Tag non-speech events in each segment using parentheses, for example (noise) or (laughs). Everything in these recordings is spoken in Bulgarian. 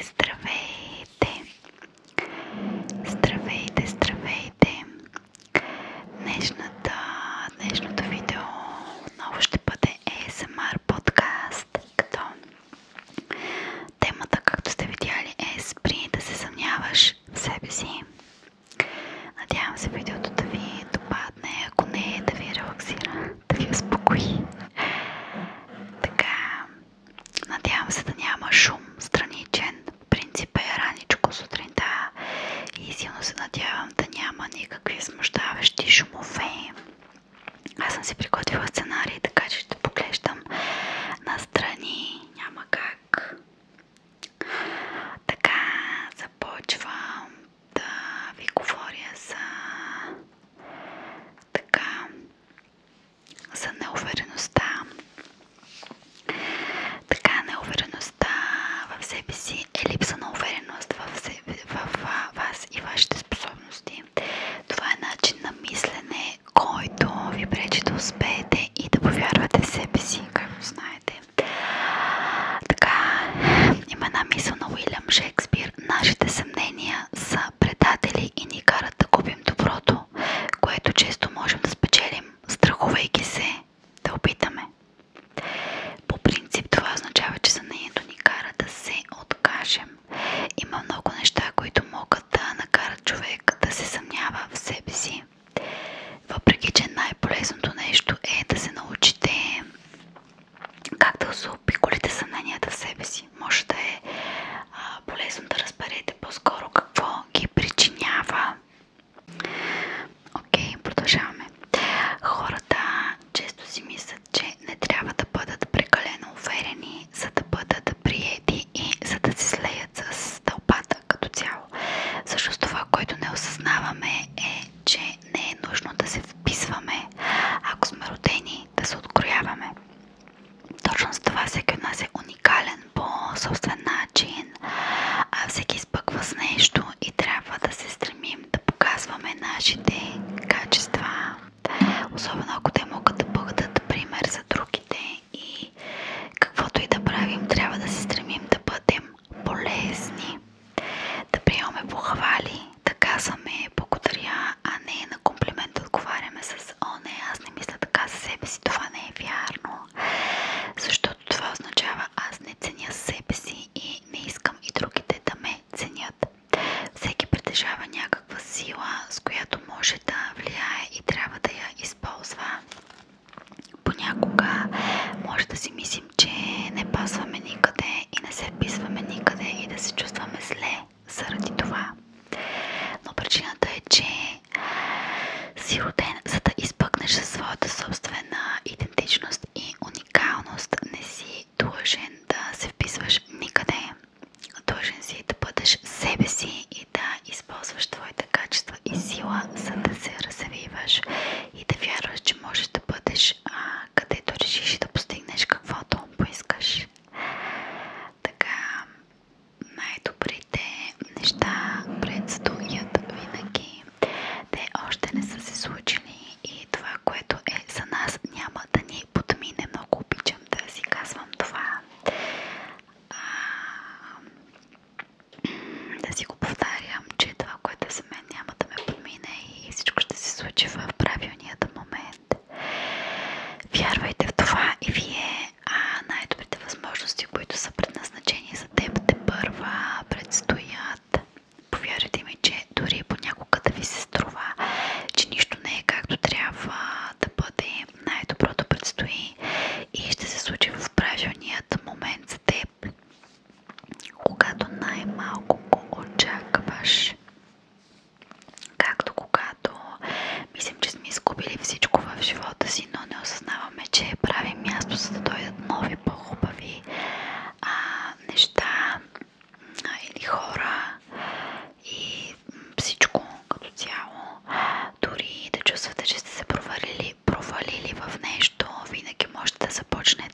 здравейте! Здравейте, здравейте! днешното видео отново ще бъде ASMR подкаст, като темата, както сте видяли, е спри да се съмняваш в себе си. Надявам се видеото да ви допадне, ако не да ви релаксира да ви успокои. Така, надявам се да няма шум страничен. В принцип е раничко сутринта и силно се надявам да няма никакви смущаващи шумове. Аз съм си приготвила сценарий, така че ще поглеждам настрани. Няма как. Така, започвам да ви говоря за така за неувереността. Така неувереността в себе си е липса на увереност в, вас и вашите способности. Това е начин на мислене, който ви пречи да успеете и да повярвате себе си, както знаете. Така, има една на Уилям Шекспир, Нашите съмнения са предатели и ни карат да губим доброто, което често можем да спечелим, страхувайки се да опитаме. По принцип това означава, че съмнението ни кара да се откажем. Има много неща, които могат да накарат човек да се съмнява в себе си. Въпреки, че най-полезното нещо е да се научите как да заобиколите в себе си. Може да е полезно да разберете по-скоро какво ги причинява. Окей, продължаваме. Хората често си мислят, че не трябва да бъдат прекалено уверени, за да бъдат приети и за да се слеят с тълпата като цяло. Също това, което не осъзнаваме е, че не е нужно да се вписваме. Ако сме родени да се открояваме. Точно с това всеки от нас е уникален по собствен начин, а всеки изпъква с нещо и трябва да се стремим да показваме нашите качества, особено ако те могат да бъдат пример за другите и каквото и да правим, трябва да се стремим да бъдем полезни, да приемаме похвали да казваме благодаря, а не на комплимент отговаряме с О, аз не мисля така за себе си, това не е вярно. Защото това означава аз не ценя себе си и не искам и другите да ме ценят. Всеки притежава някаква сила, с която може да влияе и трябва да я използва. Понякога може да си мислим, че не пасваме никъде и не се записваме никъде и да се чувстваме зле заради това. Но причината е, че си роден, за да изпъкнеш със своята собствена идентичност и уникалност, не си дължен да се вписваш никъде. Дължен си да бъдеш себе си и да използваш твоите качества и сила, за да се развиваш и да вярваш, че можеш да бъдеш където решиш и да постигнеш каквото щом поискаш. винаги. Те още не са се случили и това, което е за нас, няма да ни подмине. Много обичам да си казвам това. да си го повтарям, че това, което за мен няма да ме подмине и всичко ще се случи в правилния най-ефективният момент. Вярвайте в това и вие, а най-добрите възможности, които са предназначени за теб, те първа предстоят. Повярвайте ми, че дори понякога да ви се струва, че нищо не е както трябва да бъде, най-доброто предстои и ще се случи в правилният момент за теб, когато най-малко го очакваш. Както когато мислим, че сме изгубили всичко в живота си, но не осъзнаваме, че правим място, за да дойдат нови, по-хубави неща или хора и всичко като цяло. Дори да чувствате, че сте се провалили в нещо, винаги можете да започнете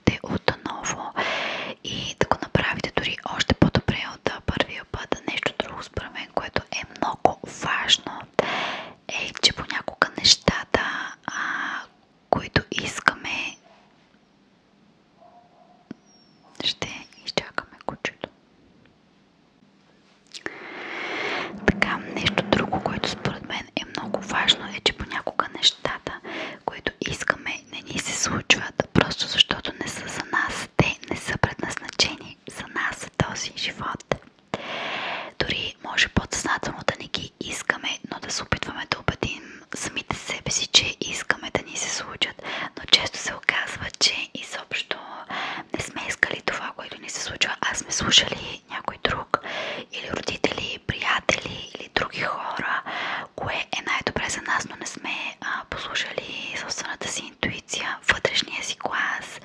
и да направите дори още по-добре от първия път. Нещо друго според мен, което е много важно, е, че понякога нещата, които искаме, ще изчакаме кучето. Така, нещо друго, което според мен е много важно, е, че понякога нещата, които искаме, те не ни се случват, просто защото не са за нас, те не са предназначени за нас, за този живот. Дори може подсъзнателно да не ги искаме, но да се опитваме да убедим самите себе си, че искаме да ни се случат, но често се оказва, че изобщо не сме искали това, което ни се случва, а сме слушали някой друг или родители, приятели или други хора, кое е най-добре за нас, сериозно не сме послушали собствената си интуиция, вътрешния си глас,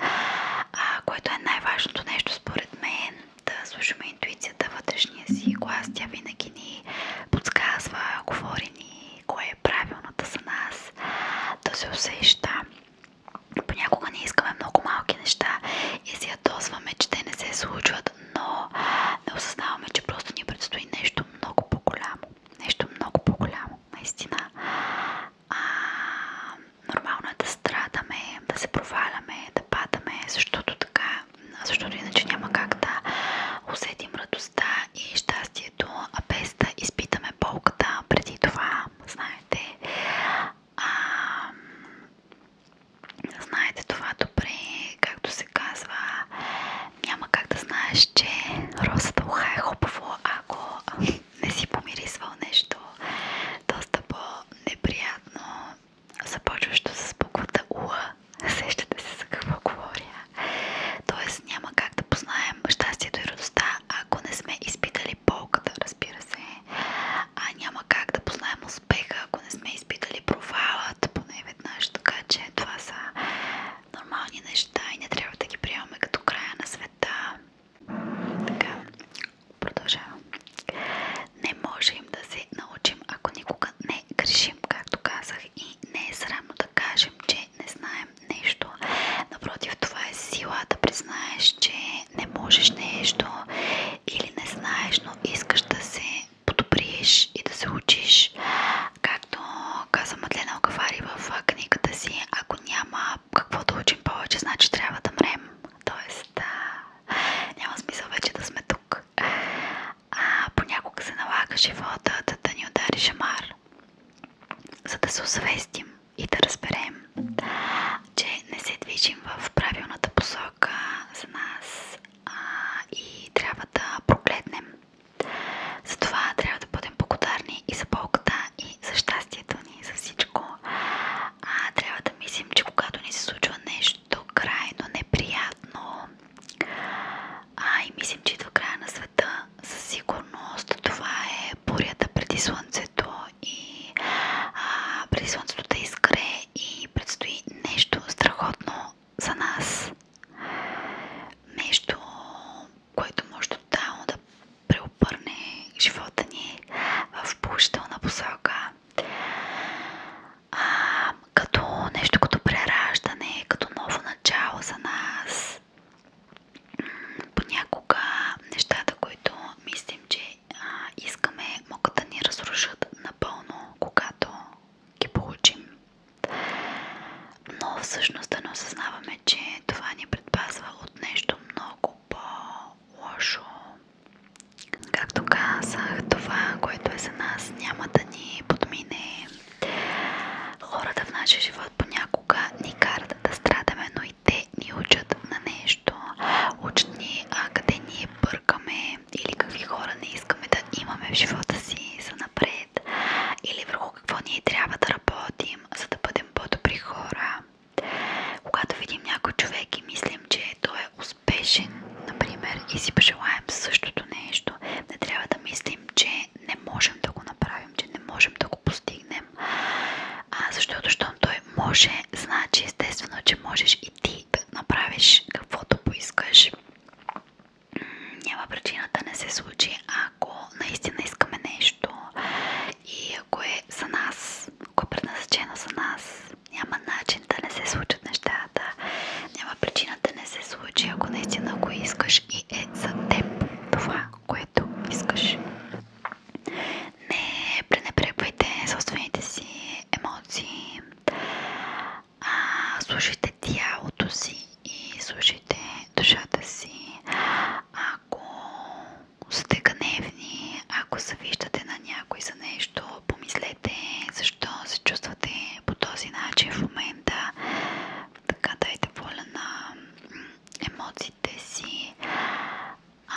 което е най-важното нещо според мен. Да слушаме интуицията, вътрешния си глас, тя винаги ни подсказва, говори ни кое е правилната за нас, да се усеща. Понякога не искаме много малки неща и се ядосваме, че те не се случват, но не осъзнаваме, че просто ни предстои нещо много по-голямо. Нещо много по-голямо, наистина. А, нормално е да страдаме, да се проваляме, да падаме, защото така, защото иначе няма как да усетим радостта и щастието, а без да изпитаме болката преди това, знаете. А, Знаете това добре, както се казва, няма как да знаеш, че розата уха е хубаво, ако не си помирисвал нещо доста по-неприятно, започващо с буквата У. Сещате се за какво говоря. Тоест няма как да познаем щастието и радостта, ако не сме изпитали болката, разбира се. А няма как да познаем успеха, ако не сме изпитали провалът, поне веднъж, така че това са нормални неща и не трябва да ги приемаме като края на света. Така, продължавам. Не можем да се научим, ако никога не грешим, както казах, и не е срамно да кажем, че не знаем нещо. Напротив, това е сила да признаеш, че не можеш нещо или не знаеш, но искаш да се подобриш и да се учиш. Както каза Мадлена Окафари в книгата си, ако няма какво да учим повече, значи трябва да мрем. Тоест, а, няма смисъл вече да сме тук. А, понякога се налага живота да, да ни удари шамар, за да се усвестим и да разберем, че не се движим в правилната посока за нас, а, и трябва да прогледнем. Затова трябва да бъдем благодарни и за болката, и за щастието ни, и за всичко. А, трябва да мислим, че когато ни се случва нещо крайно неприятно, а и мислим, че до края на света, със сигурност това е бурята преди слънцето и а, преди слънцето да изгре и предстои нещо страхотно за нас нещо, което може тотално да преобърне живота ни в положителна посока. А, като нещо като прераждане, като ново начало за нас. Понякога нещата, които мислим, че а, искаме, могат да ни разрушат напълно, когато ги получим. Но всъщност да не осъзнаваме, че това ни предпазва от нещо много по-лошо. Както казах, това, което е за нас, няма да ни подмине. Хората в нашия живот понякога ни карат да страдаме, но и те ни учат на нещо. Учат ни а, къде ние бъркаме, или какви хора не искаме да имаме в живота си за напред, или върху какво ние трябва да работим, за да бъдем по-добри хора. Когато видим някой човек и мислим, че той е успешен, например, и си пожелаем същото нещо, не трябва да мислим, че не можем да го направим, че не можем да го постигнем. А, защото, щом той може, значи естествено, че можеш и ти да направиш каквото поискаш няма причина да не се случи, ако наистина искаме нещо и ако е за нас, ако е предназначено за нас, няма начин да не се случат нещата, няма причина да не се случи, ако наистина го искаш и е за теб това, което искаш. Не пренебрегвайте собствените си емоции а, слушайте тялото си и слушайте душата си. Ако сте гневни, ако се виждате на някой за нещо, помислете защо се чувствате по този начин в момента. Така дайте воля на емоциите си. А,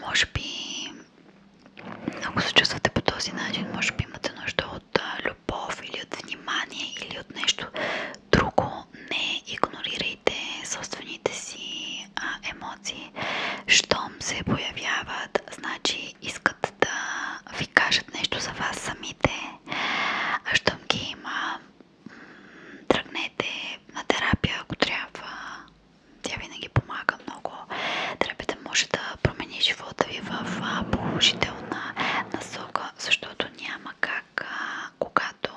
може би ако се чувствате по този начин, може би имате нужда от любов или от внимание или от нещо друго. Не игнорирайте собствените си а, емоции. Щом се появяват, значи искат да ви кажат нещо за вас самите. А щом ги има, тръгнете на терапия, ако трябва. Тя винаги помага много. Тръбите може да промени живота ви в положителна насока, защото няма как, когато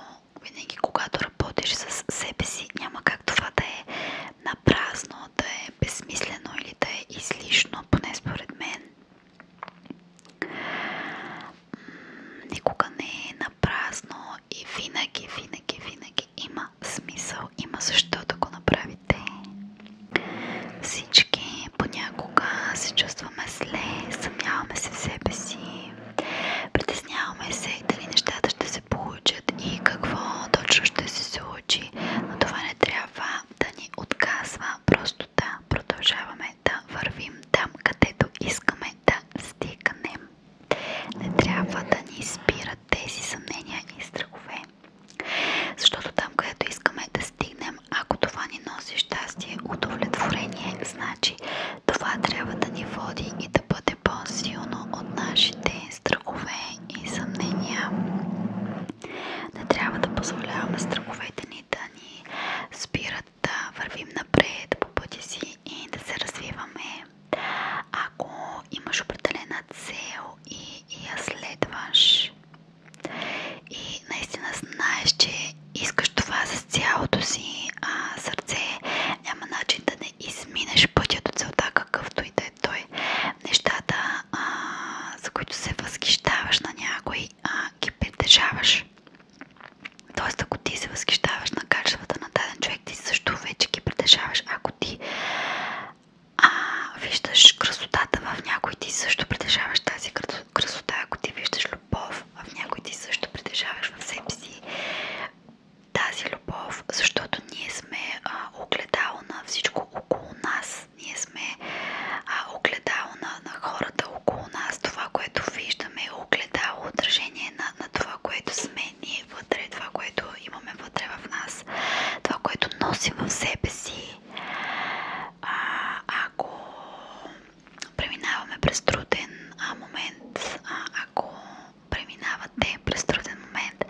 работиш с себе си, няма как това да е напразно, да е безсмислено или да е излишно, поне според мен. Никога не е напразно и винаги, винаги, винаги има има смисъл, има защо да го направите. Всички понякога се чувстваме зле, съмняваме се в себе си, притесняваме се дали нещата ще се получат и какво точно ще се случи, но това не трябва да ни отказва, просто да продължаваме да вървим там, където искаме да стигнем. Не трябва да ни спират тези съмнения и страхове. Защото там, където искаме да стигнем, ако това ни носи щастие, удовлетворение, значи това трябва да ни води и да бъде по-силно от нашите страхове и съмнения. Не трябва да позволяваме страховете ни да ни спират да вървим напред по пътя си и да се развиваме. Ако имаш определена цел, и, и я следваш. И наистина знаеш, че искаш това с цялото си а, сърце. Няма начин да не изминеш пътя до целта, какъвто и да е той. Нещата, а, за които се възхищаваш на някой, а, ги притежаваш. Тоест, ако ти се възхищаваш на качествата на даден човек, ти също вече ги притежаваш. Ако ти а, виждаш красотата в някой, ти също притежаваш тази красота, ако ти виждаш любов в някой, ти също притежаваш в себе си тази любов, защото ние сме а, огледало на всичко около нас, ние сме а, огледало на, на хората около нас, това, което виждаме е огледало отражение на, на това, което сме ние вътре, това, което има имаме вътре в нас, това, което носим в себе си, а, ако преминаваме през труден а, момент, а, ако преминавате през труден момент,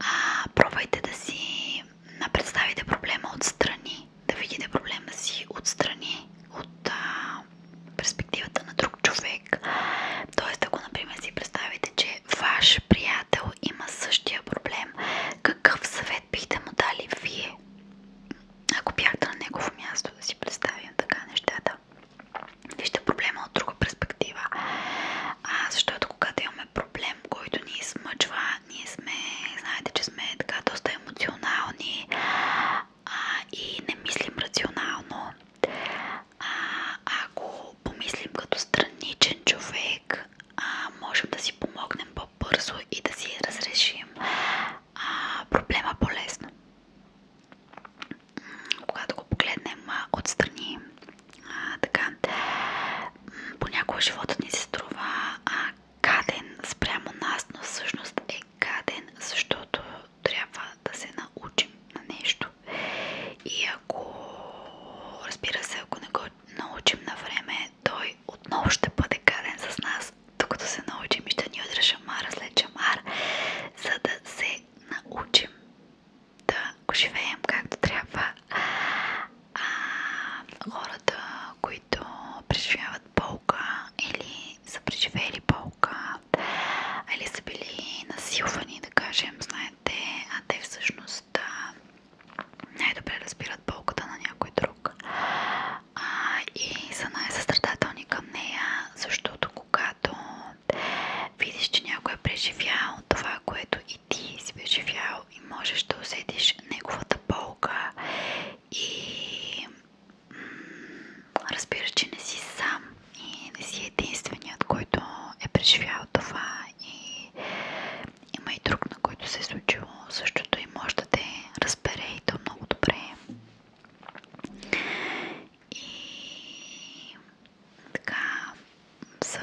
а, пробвайте да си представите проблема отстрани, да видите проблема си отстрани, от а, перспективата на друг човек. Тоест, ако, например, си представите, че ваш приятел има същия проблем, какъв съвет бихте му дали вие? Ако бяхте на негово място, да си представим така нещата. Вижте проблема от друга перспектива. А, защото когато имаме проблем, който ни измъчва, ние сме, знаете, че сме така доста емоционални а, и не мислим рационално. А, ако помислим като страничен човек, можем да си помогнем по-бързо и да си разрешим проблема по-лесно. Когато го погледнем а, така, понякога животът ни се струва а, спрямо нас, но всъщност е гаден, защото трябва да се научим на нещо. И ако, разбира се, ако не го научим на време, той отново ще бъде гаден с нас, докато се научим и ще ни удря шамара след шамар, за да се научим да го живеем както трябва. хората, които преживяват болка или са преживели болка, или са били насилвани, да кажем, знаем, знаете, те всъщност най-добре разбират болката на някой друг и са най-състрадателни е към нея, защото когато видиш, че някой е преживял това, което и ти си преживял можеш да усетиш неговата болка и разбираш, че не си сам и не си единственият, който е преживял това и има и друг, на който се е случило същото и може да те много добре. И така за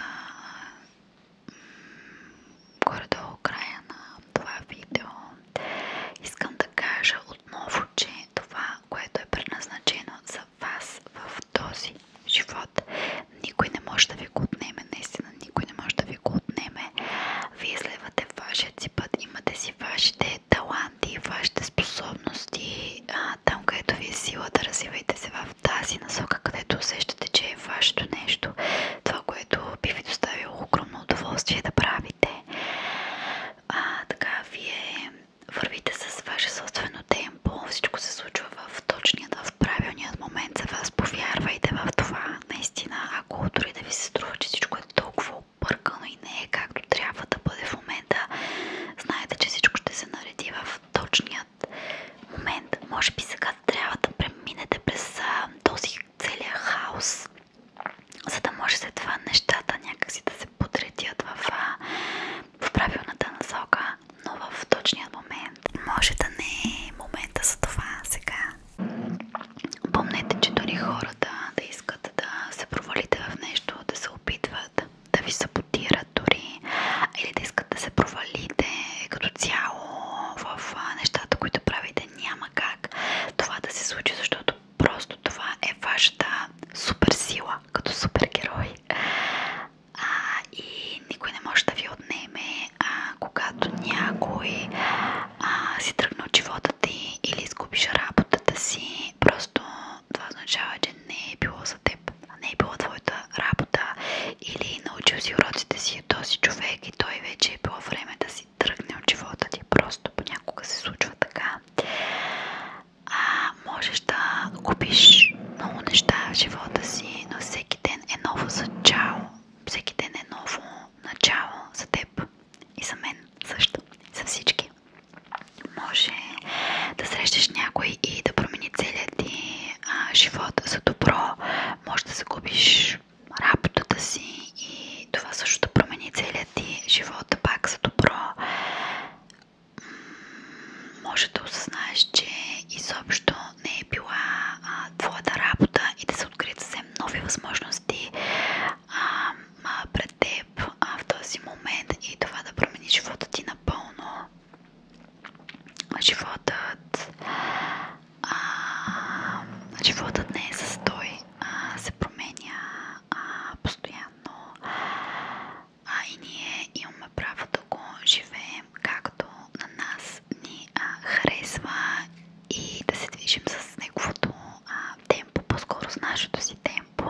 горе-долу края на това видео искам да кажа отново, че това, което е предназначено за вас в този живот. Никой не може да ви го отнеме, наистина никой не може да ви го отнеме. Вие следвате вашият си път, имате си вашите таланти, вашите способности. А, там, където ви е силата, да развивайте се в тази насока, където усещате, че е вашето нещо. Това, което би ви доставило огромно удоволствие да правите. А, така, вие вървите с ваше собствено темпо, всичко се случва в точния, в правилният момент за вас. Повярвайте в това. Наистина, ако дори да ви се струва, че всичко е толкова объркано и не е както трябва да бъде в момента, знаете, че всичко ще се нареди в точният момент. Може би сега трябва да преминете през този целият хаос, за да може след това нещата някакси да се подредят в, в правилната насока но в точния момент. Може да не е момента за това сега. Помнете, че дори хората да искат да се провалите в нещо, да се опитват, да ви саботират дори, или да искат да се провалите като цяло в нещата, които правите, няма как това да се случи, защото просто това е вашата суперсила като супергерой а, и никой не може да ви отнеме, а, когато някой а, си тръгне от живота ти или изгубиш работата си, просто това означава, че не е било за теб, не е било твоята работа или научил си уроците си е този човек и той вече е било време да си тръгне от живота ти. Просто понякога се случва така а можеш да губиш много неща в живота си, но всеки ден е ново начало. Всеки ден е ново начало за теб и за мен също, за всички. Може да срещаш някой и да промени целият ти а, живот за добро. Може да загубиш работата си и това също да промени целият ти живот пак за добро може да осъзнаеш, че изобщо не е била а, твоята работа и да се открият съвсем нови възможности а, а, пред теб а, в този момент и това да промени живота ти напълно. Животът, а, животът не е състой, а, се променя а, постоянно а и ние имаме право да го живеем както на нас ни а, и да се движим с неговото темпо, по-скоро с нашето си темпо.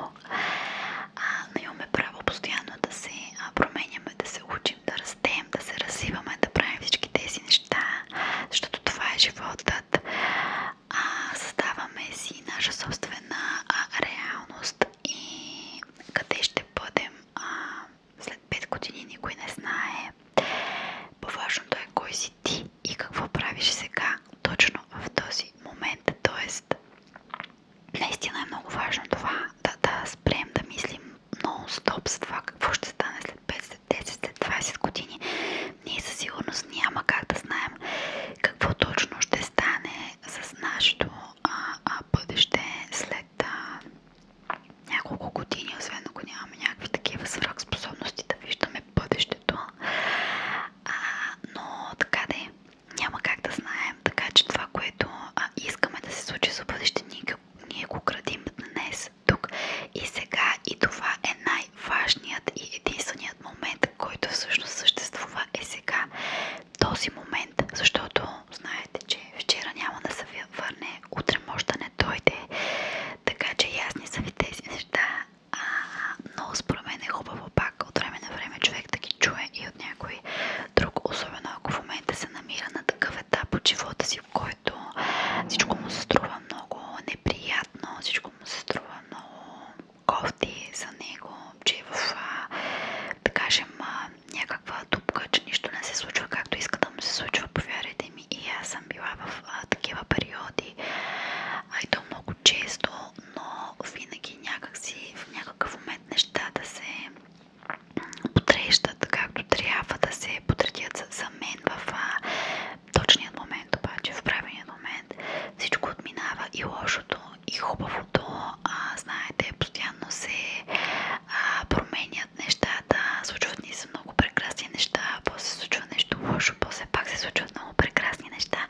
но имаме право постоянно да се променяме, да се учим, да растем, да се развиваме, да правим всички тези неща, защото това е животът. А, създаваме си наша собствена а, реалност и къде ще бъдем а, след 5 години никой не знае. По-важното е кой си ти и какво правиш сега, точно в този момент. Тоест, наистина е много важно това да, да спрем да мислим нон-стоп за това какво ще стане след 5, след 10, след 20 години. Ние със сигурност няма как да знаем какво точно ще стане с нашето бъдеще след няколко години, освен ако нямаме някакви такива свръхспособности да виждаме бъдещето. но така да е. няма как да знаем, така че това, което искаме да се случи за бъдеще, ние го градим днес, тук и сега и това е най-важният и единственият момент, който всъщност съществува е сега. Този момент момент, защото знаете, че вчера няма да се върне, утре може да не дойде, така че ясни са ви тези неща, а, но според мен е хубаво пак от време на време човек да ги чуе и от някой друг, особено ако в момента се намира на такъв етап от живота си, в който всичко му се струва много неприятно, всичко му се струва много кофти за него, че е в, да кажем, някаква дупка, че нищо не се случва както иска да му се случва, повярвайте ми. И аз съм била в такива периоди, а много често, но винаги някакси в някакъв момент нещата се потрещат както трябва да се потретят за мен в а, момент, обаче в правилният момент всичко отминава и лошото и хубавото, а, знаете, постоянно се а, променят нещата, случват ни се много прекрасни неща, после се случва нещо лошо, после пак се случват много прекрасни неща,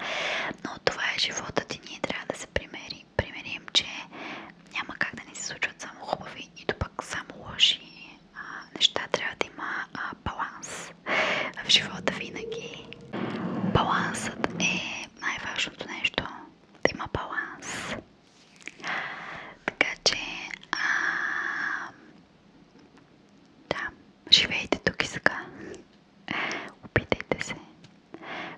но това е животът и ние трябва да се примерим, примерим че няма как да ни се случват само хубави, нито пък само лоши а, неща, трябва да има а, баланс в живота винаги. Балансът е най-важното нещо да има баланс. Така че, живейте тук и сега. Опитайте се.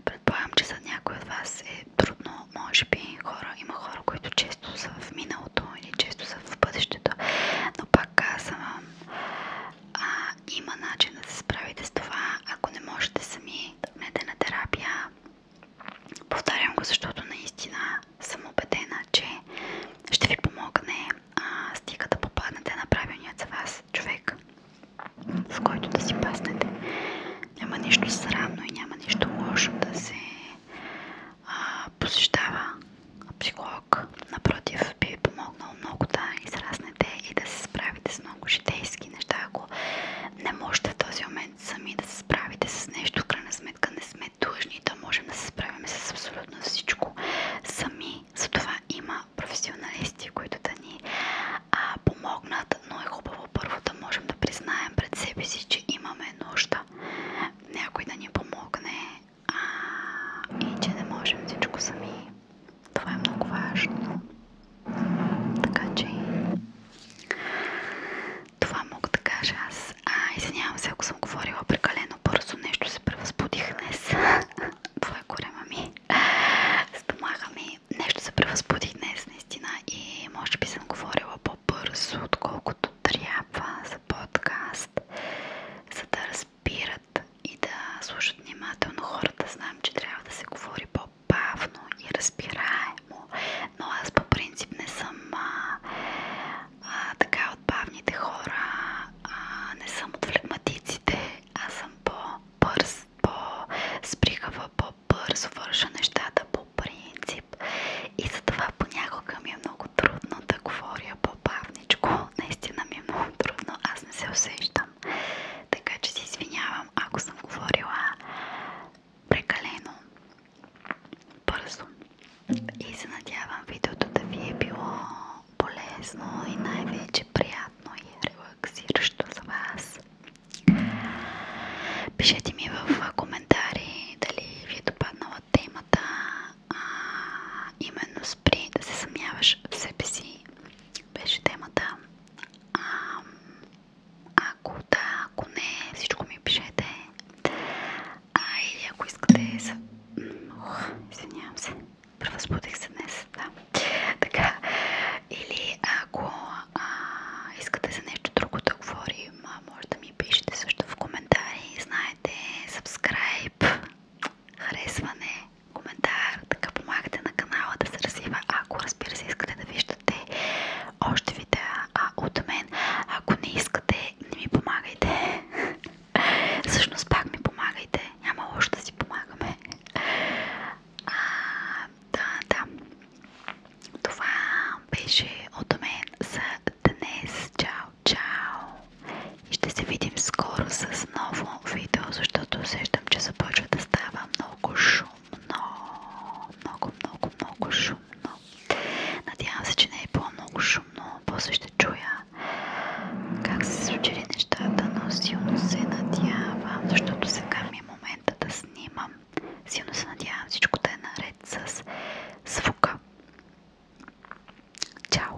Предполагам, че за някои от вас е трудно, може би има хора, които често са в миналото или често са в бъдещето, но пак казвам, има начин да се справите с това, ако не можете сами метена терапия. Повтарям го, защото наистина съм убедена, че ще ви помогне стига да попаднете на правилният за вас човек, с който да си паснете. Няма нищо срамно и няма нищо лошо да се посещава психолог. Напротив, би ви помогнал много да израснете и да се справите с много житейски физически неща, ако не можете в този момент сами да се справите с нещо, в крайна сметка не сме длъжни да можем да се справим с абсолютно всичко сами. Затова има професионалисти, които да ни а, помогнат, но е хубаво първо да можем да признаем пред себе си, че имаме нужда някой да ни помогне а, и че не можем всичко сами. Това е много важно. Така че това мога да кажа аз. А, извинявам се, ако съм говорила прекалено бързо, нещо се превъзбудих днес. (laughs) Това е корема ми. Стомаха ми. Нещо се превъзбудих днес, наистина. И може би съм говорила по-бързо, отколкото трябва за подкаст, за да разбират и да слушат внимателно хората. Знам, че трябва да се говори по бавно и разбираемо, но аз по принцип не съм а, а, така от бавните хора, а, не съм от флегматиците, аз съм по-бърз, по-сприхава, по-бързо върша нещата по принцип и затова понякога ми е много трудно да говоря по-бавничко, наистина ми е много трудно, аз не се усещам обръщам. Така че се извинявам, ако съм говорила прекалено бързо. И се надявам видеото да ви е било полезно и най-вече приятно и релаксиращо за вас. Пишете ми в коментари дали ви е допаднала темата, а, именно спри да се съмняваш в себе си. Беше темата. Ако да, ако не, всичко ми пишете. А, или ако искате... С... Ох, извинявам се. Превъзбудих се днес, да. Така. Или ако а, искате за нещо друго да говорим, може да ми пишете също в коментари. Знаете, subscribe, харесване, коментар, така помагате на канала да се развива, ако разбира искате да виждате още видеа а, от мен. Ако не искате, не ми помагайте. (laughs) Всъщност пак ми помагайте. Няма лошо да си помагаме. А, да, Това беше от мен за днес. Чао, чао! ще се видим скоро с ново видео, защото усещам, че започва да става става много шумно. Много, много, много шумно. Надявам се, че не е по-много шумно. После ще чуя как се случили нещата, но силно се надявам, защото сега ми е момента да снимам. Силно се надявам всичко да е наред с звука. Чао!